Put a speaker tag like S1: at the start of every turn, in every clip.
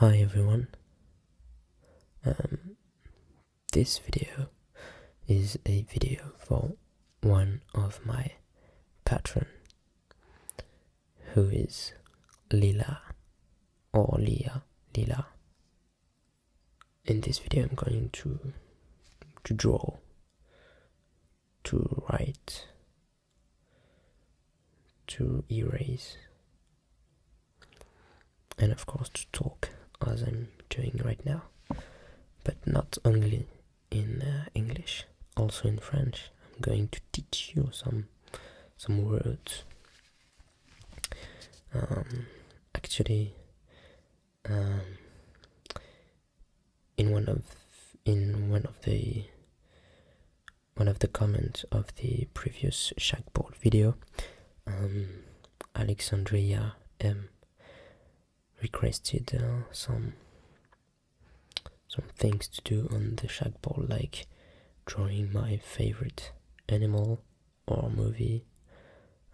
S1: Hi everyone. Um, this video is a video for one of my patron who is Lila or Leah Lila. In this video I'm going to to draw to write to erase and of course to talk as I'm doing right now, but not only in uh, English, also in French. I'm going to teach you some some words. Um, actually, um, in one of in one of the one of the comments of the previous Shagball video, um, Alexandria M requested uh, some some things to do on the Shagball, like drawing my favorite animal or movie,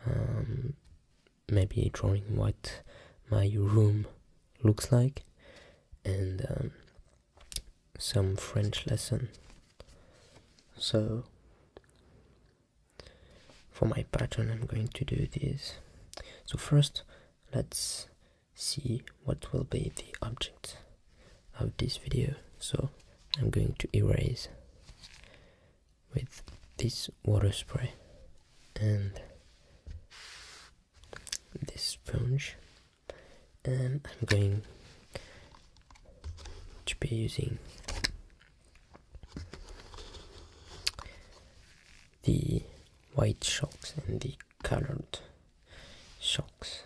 S1: um, maybe drawing what my room looks like, and um, some French lesson. So for my pattern I'm going to do this. So first let's see what will be the object of this video. So I'm going to erase with this water spray and this sponge and um, I'm going to be using the white shocks and the colored shocks.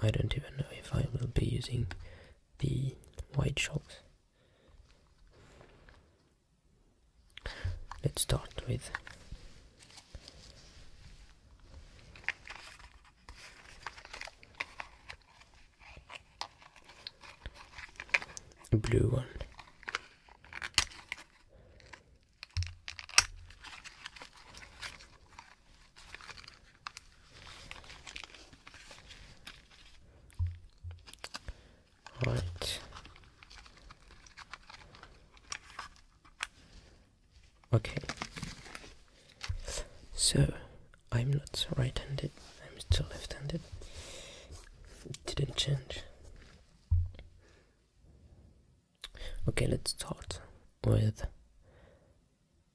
S1: I don't even know if I will be using the white shocks let's start with a blue one right okay so i'm not right-handed i'm still left-handed didn't change okay let's start with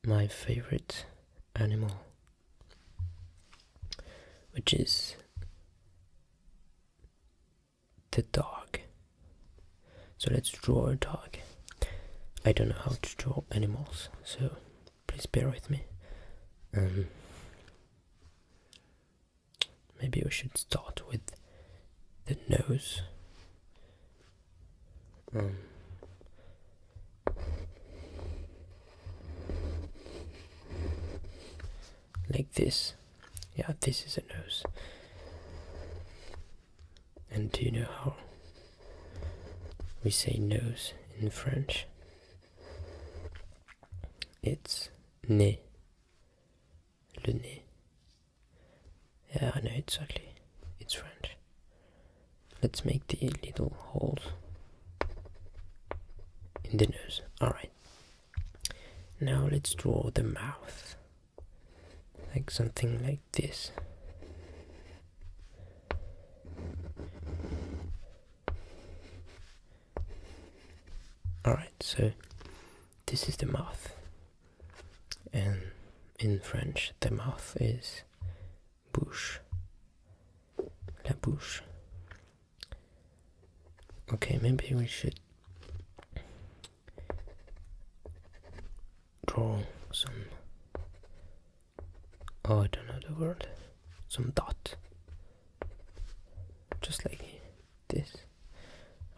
S1: my favorite animal which is the dog. So let's draw a dog. I don't know how to draw animals, so please bear with me. Um, maybe we should start with the nose. Um, like this. Yeah, this is a nose. And do you know how we say nose in French? It's nez. Le nez. Yeah, I know exactly. It's French. Let's make the little holes in the nose. Alright. Now let's draw the mouth. Like something like this. Alright, so this is the mouth. And in French, the mouth is bouche. La bouche. Okay, maybe we should draw some oh I don't know the word some dot just like this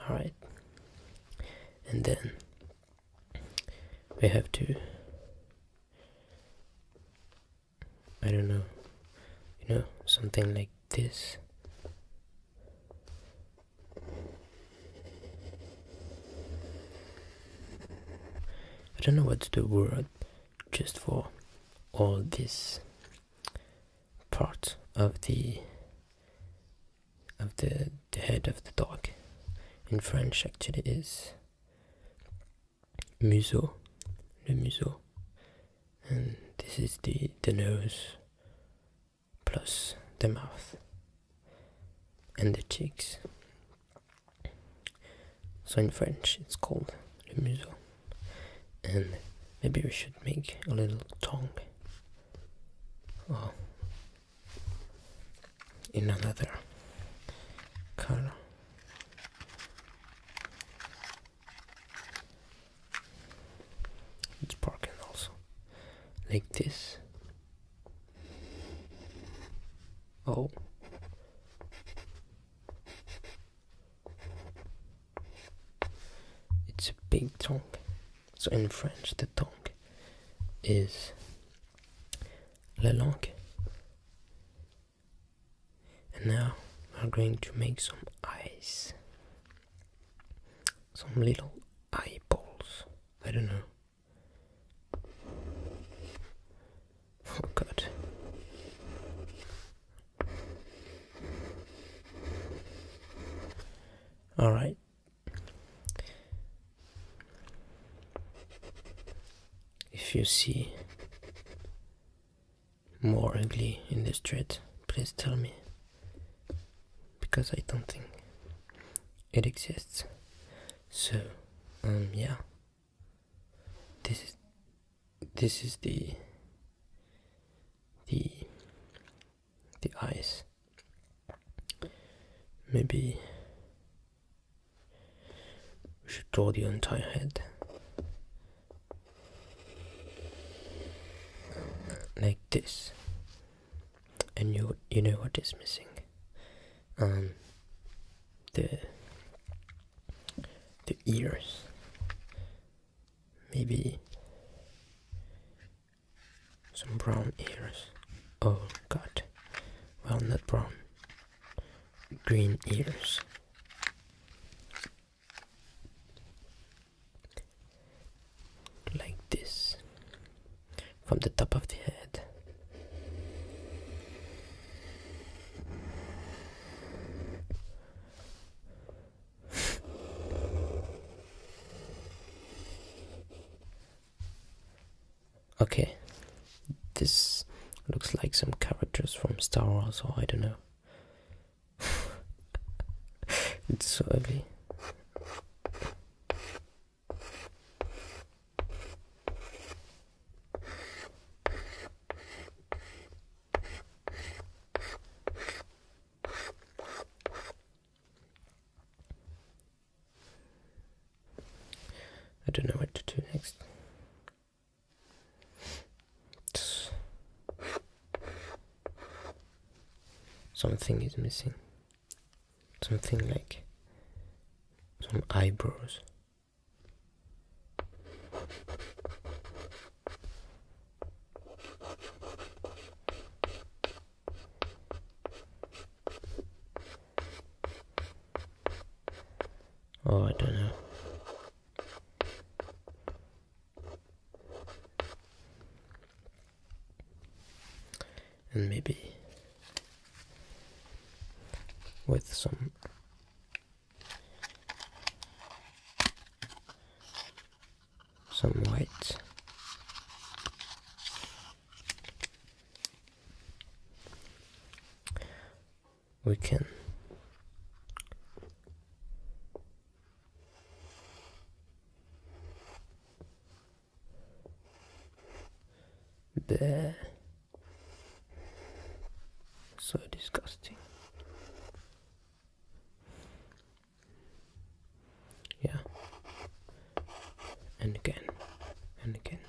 S1: alright and then we have to I don't know you know something like this. I don't know what's the word just for all this part of the of the head of the dog. In French actually is museau, le museau and this is the, the nose plus the mouth and the cheeks. So in French it's called le museau and maybe we should make a little tongue oh. in another color it's parking also like this. Oh. It's a big tongue. So in French, the tongue is la langue. And now we're going to make some eyes some little eyeballs. I don't know. Oh god. All right. If you see more ugly in the street, please tell me. Because I don't think it exists. So, um, yeah. This is this is the the the eyes. Maybe we should draw the entire head like this and you you know what is missing um the the ears maybe some brown ears oh god well not brown green ears like this from the top of the head. okay, this looks like some characters from Star Wars, or I don't know it's so heavy. I don't know what to do next. Something is missing. Something like some eyebrows. Oh, I don't know and maybe with some some white we can Bleh. So disgusting. Yeah. And again. And again.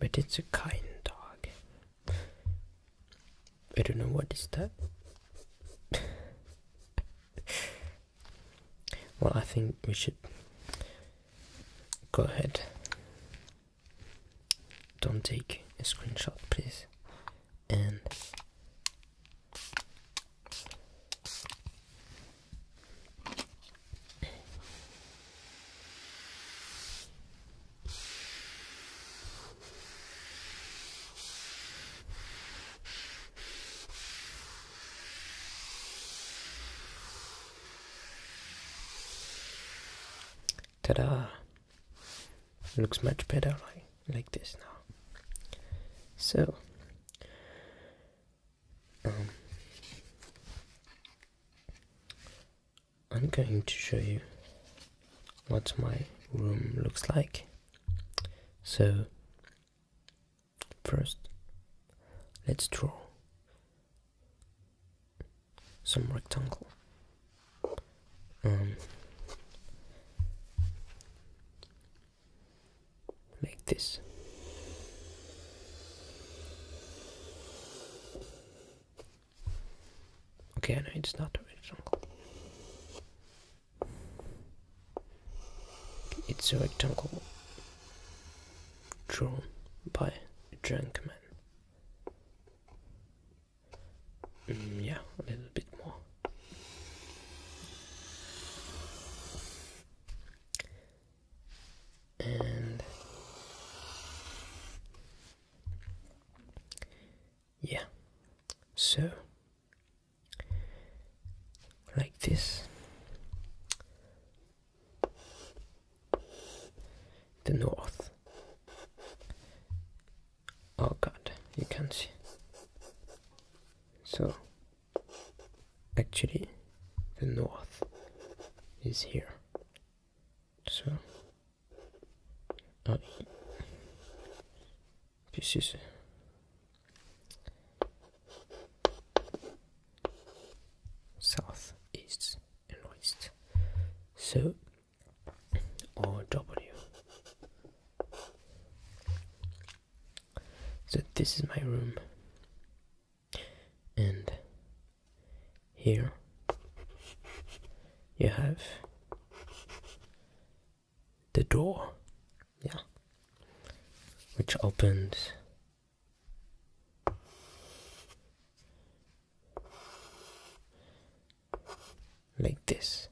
S1: But it's a kind dog. I don't know what is that. well, I think we should go ahead. Don't take a screenshot, please. And Ta-da! Looks much better like, like this now. So, um, I'm going to show you what my room looks like. So, first, let's draw some rectangle. Um, like this. Okay, I know it's not a rectangle. It's a rectangle drawn by a drunk man. Mm, yeah, a little bit more. And yeah so like this the north oh god you can't see so actually the north is here so uh, pieces south east and west so or W so this is my room and here you have the door, yeah, which opens like this.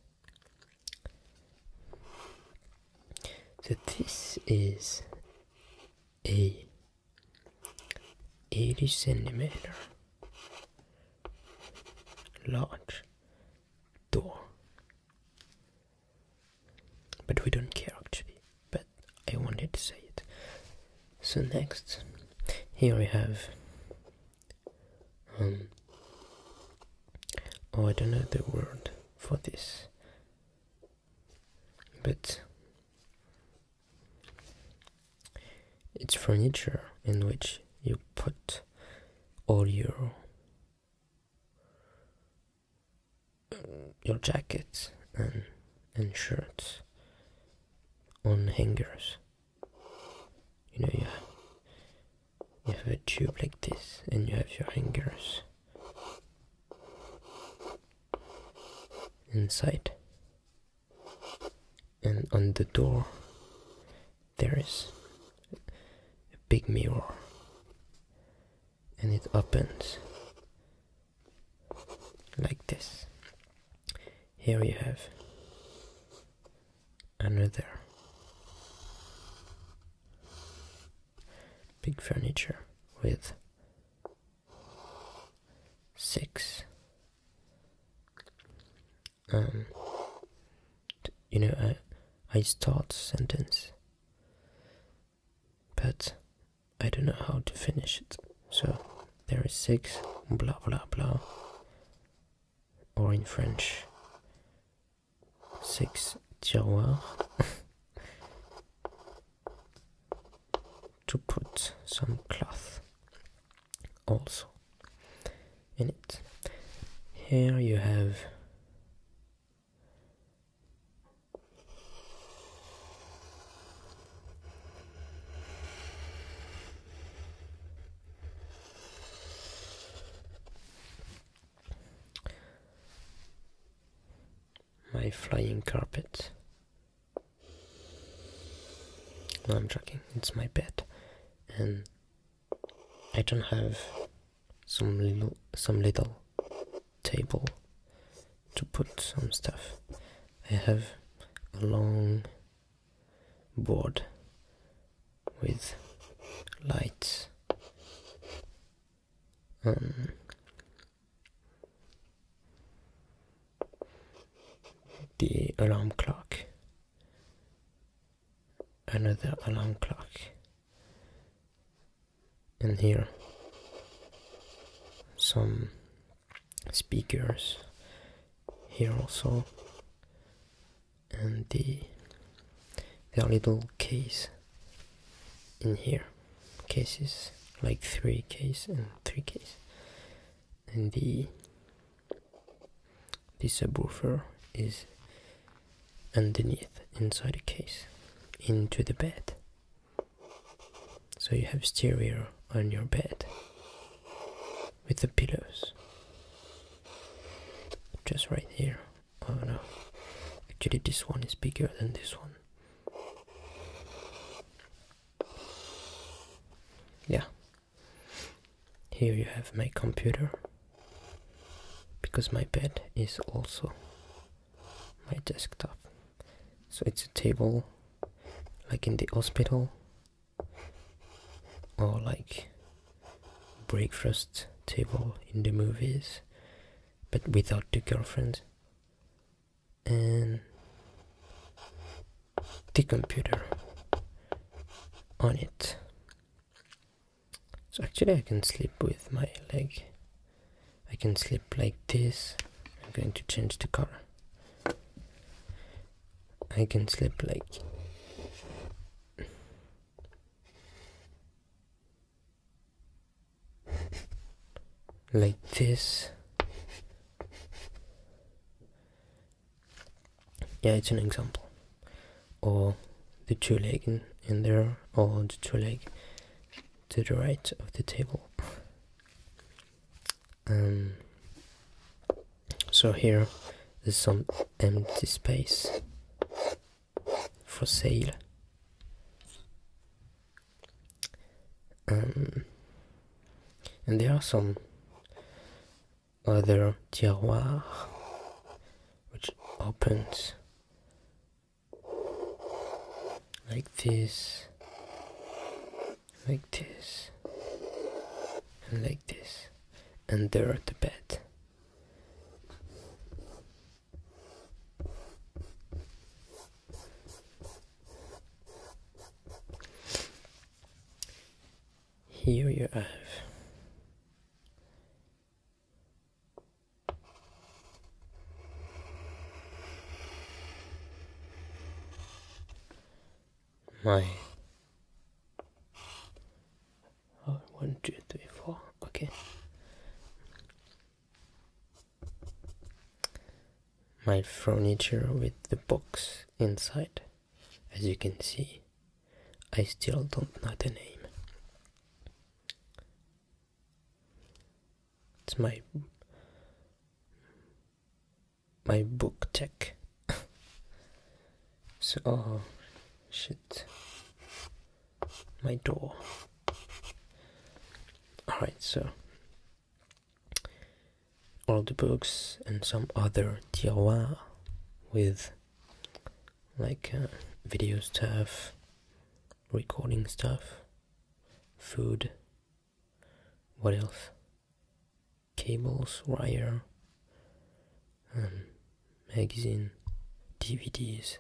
S1: So, this is a 80 centimeter large door but we don't care actually but i wanted to say it so next here we have um, oh i don't know the word for this but it's furniture in which you put all your your jacket and and shirts on hangers. You know you have a tube like this and you have your hangers inside and on the door there is a big mirror and it opens like this here you have another big furniture with six. Um, you know, I, uh, I start sentence, but I don't know how to finish it. So there is six, blah blah blah, or in French, six tiroirs. to put some cloth also in it. Here you have my flying carpet no, I'm joking. It's my bed, and I don't have some little some little table to put some stuff. I have a long board with lights. Um, the alarm clock another alarm clock and here some speakers here also and the their little case in here cases like three cases and three cases and the the subwoofer is underneath inside the case into the bed so you have stereo on your bed with the pillows just right here oh no actually this one is bigger than this one yeah here you have my computer because my bed is also my desktop so it's a table like in the hospital or like breakfast table in the movies but without the girlfriend and the computer on it so actually I can sleep with my leg I can sleep like this I'm going to change the color I can sleep like like this yeah, it's an example. Or the two leg in, there, or the two leg to the right of the table. Um, so here there's some empty space for sale. Um, and there are some other tiroir which opens like this, like this, and like this, and there are the bed. Here you have my oh, one, two, three, four. Okay, my furniture with the box inside as you can see I still don't know the name it's my my book tech so oh shit my door all right so old books and some other tiroir with like uh, video stuff, recording stuff, food, what else? Cables, wire, um, magazine, DVDs,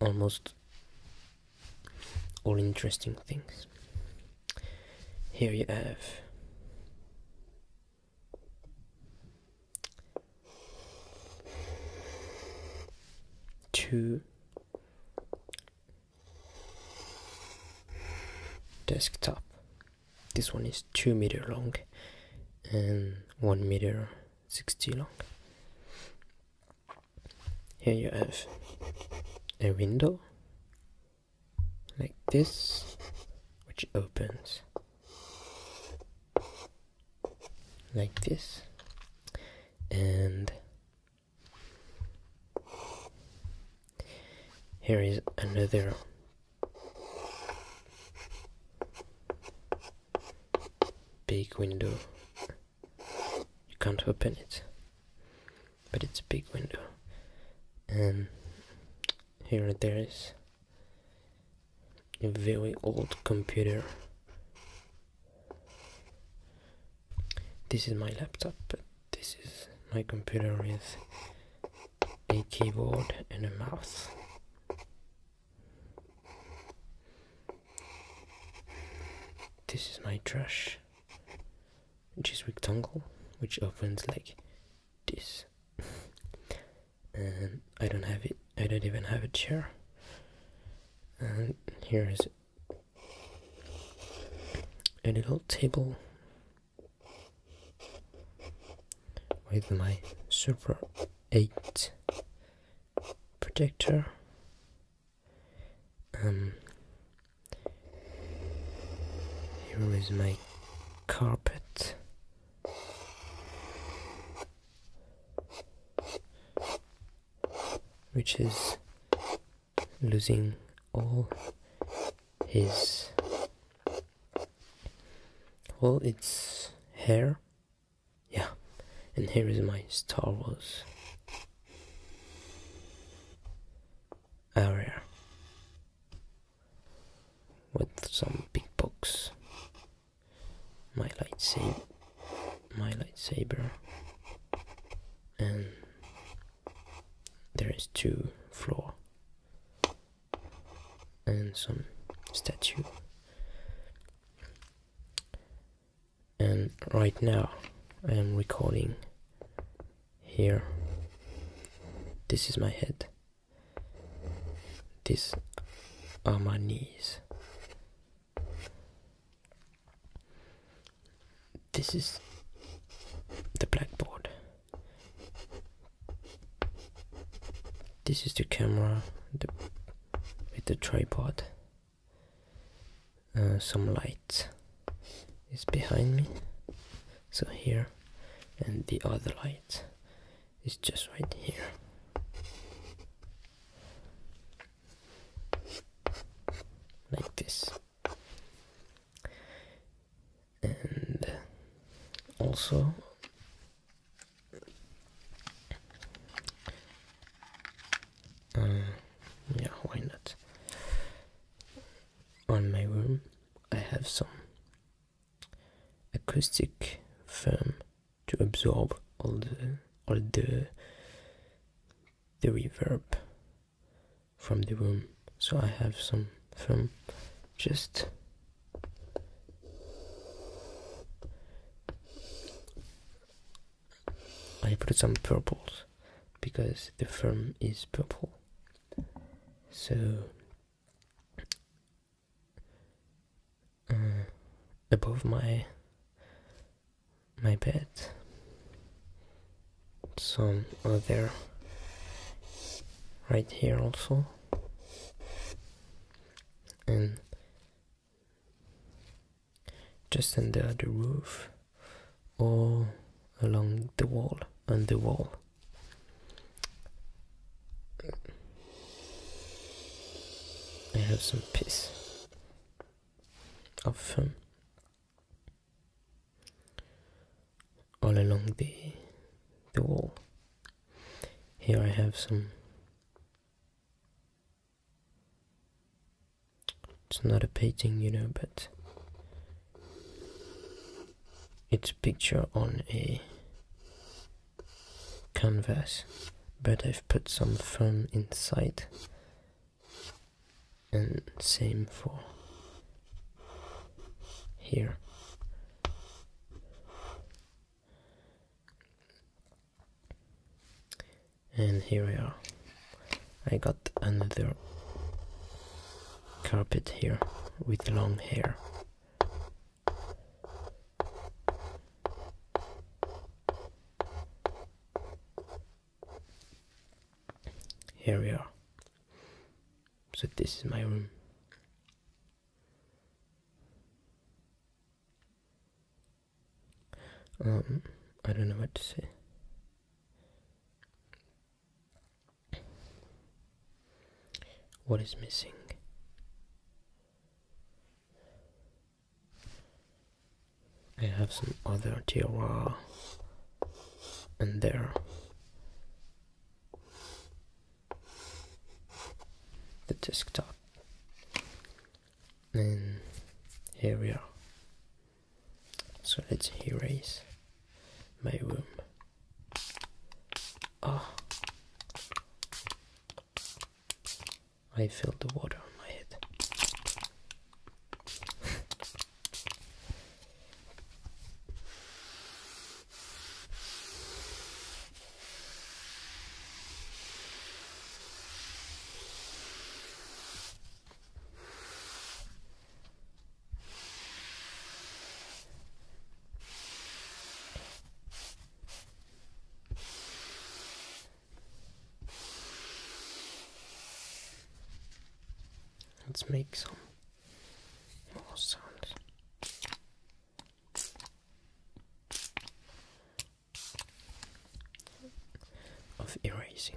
S1: almost all interesting things. Here you have two desktop. This one is two meter long and one meter sixty long. Here you have a window like this, which opens like this, and here is another big window you can't open it but it's a big window and here there is a very old computer this is my laptop but this is my computer with a keyboard and a mouse this is my trash which is rectangle, which opens like this. and I don't have it, I don't even have a chair. And here is a little table with my Super 8 projector um, here is my carpet. Which is losing all his all its hair. Yeah, and here is my Star Wars area with some big pickpockets. My lightsaber, my lightsaber, and there is two floor and some statue and right now I am recording here this is my head This are my knees this is the blackboard this is the camera with the tripod uh, some light is behind me so here and the other light is just right here like this and also uh, yeah, why not? On my room, I have some acoustic foam to absorb all the all the the reverb from the room. So I have some foam just I put some purples because the firm is purple. So uh, above my my bed, some other right here also, and just under the roof or along the wall, on the wall. I have some piece of foam all along the the wall. Here I have some it's not a painting, you know, but it's a picture on a canvas, but I've put some foam inside, and same for here and here we are I got another carpet here with long hair here we are so this is my room um, I don't know what to say. What is missing? I have some other Tiwa, and there. The desktop. And here we are. So let's erase my room. oh. I felt the water on my head. Let's make some more sounds of erasing.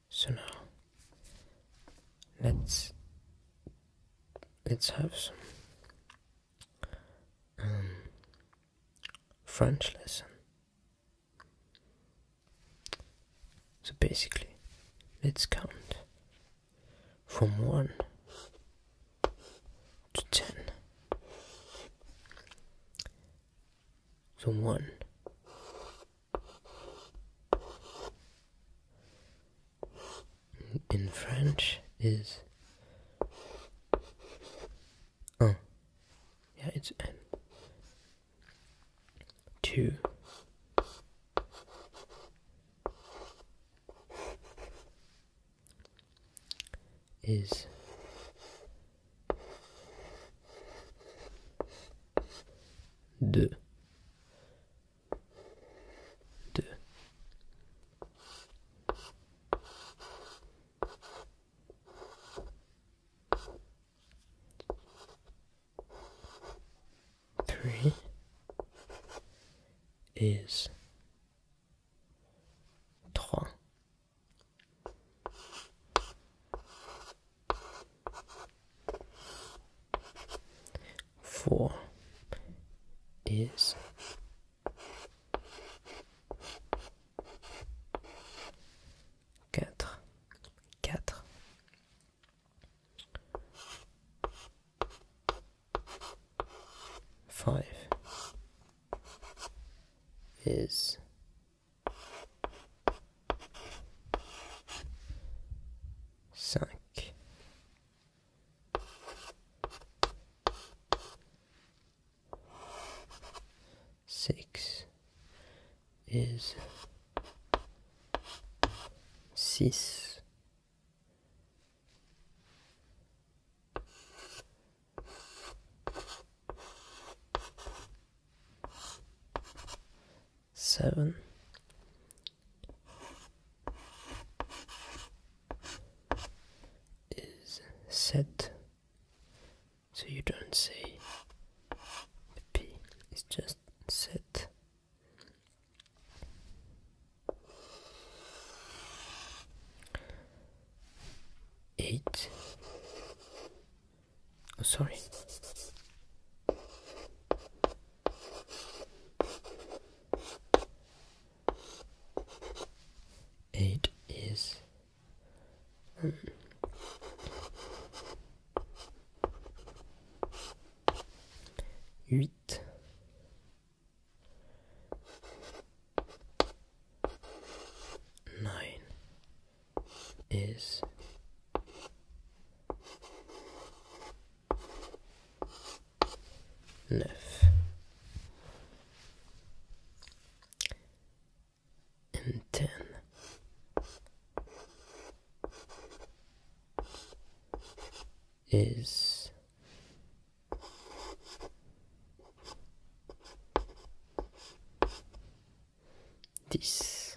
S1: so now let's let's have some um, French lesson. So basically, let's count from one to ten. So one in French is un. Oh, yeah, it's n. Two. Is deux. 2 3 is 3 Four is quatre, quatre. Five is Cinq. Six is six seven, is set so you don't say P, it's just set. Eight. Oh, sorry. Eight is um, Nine is Nine And ten. Is dix.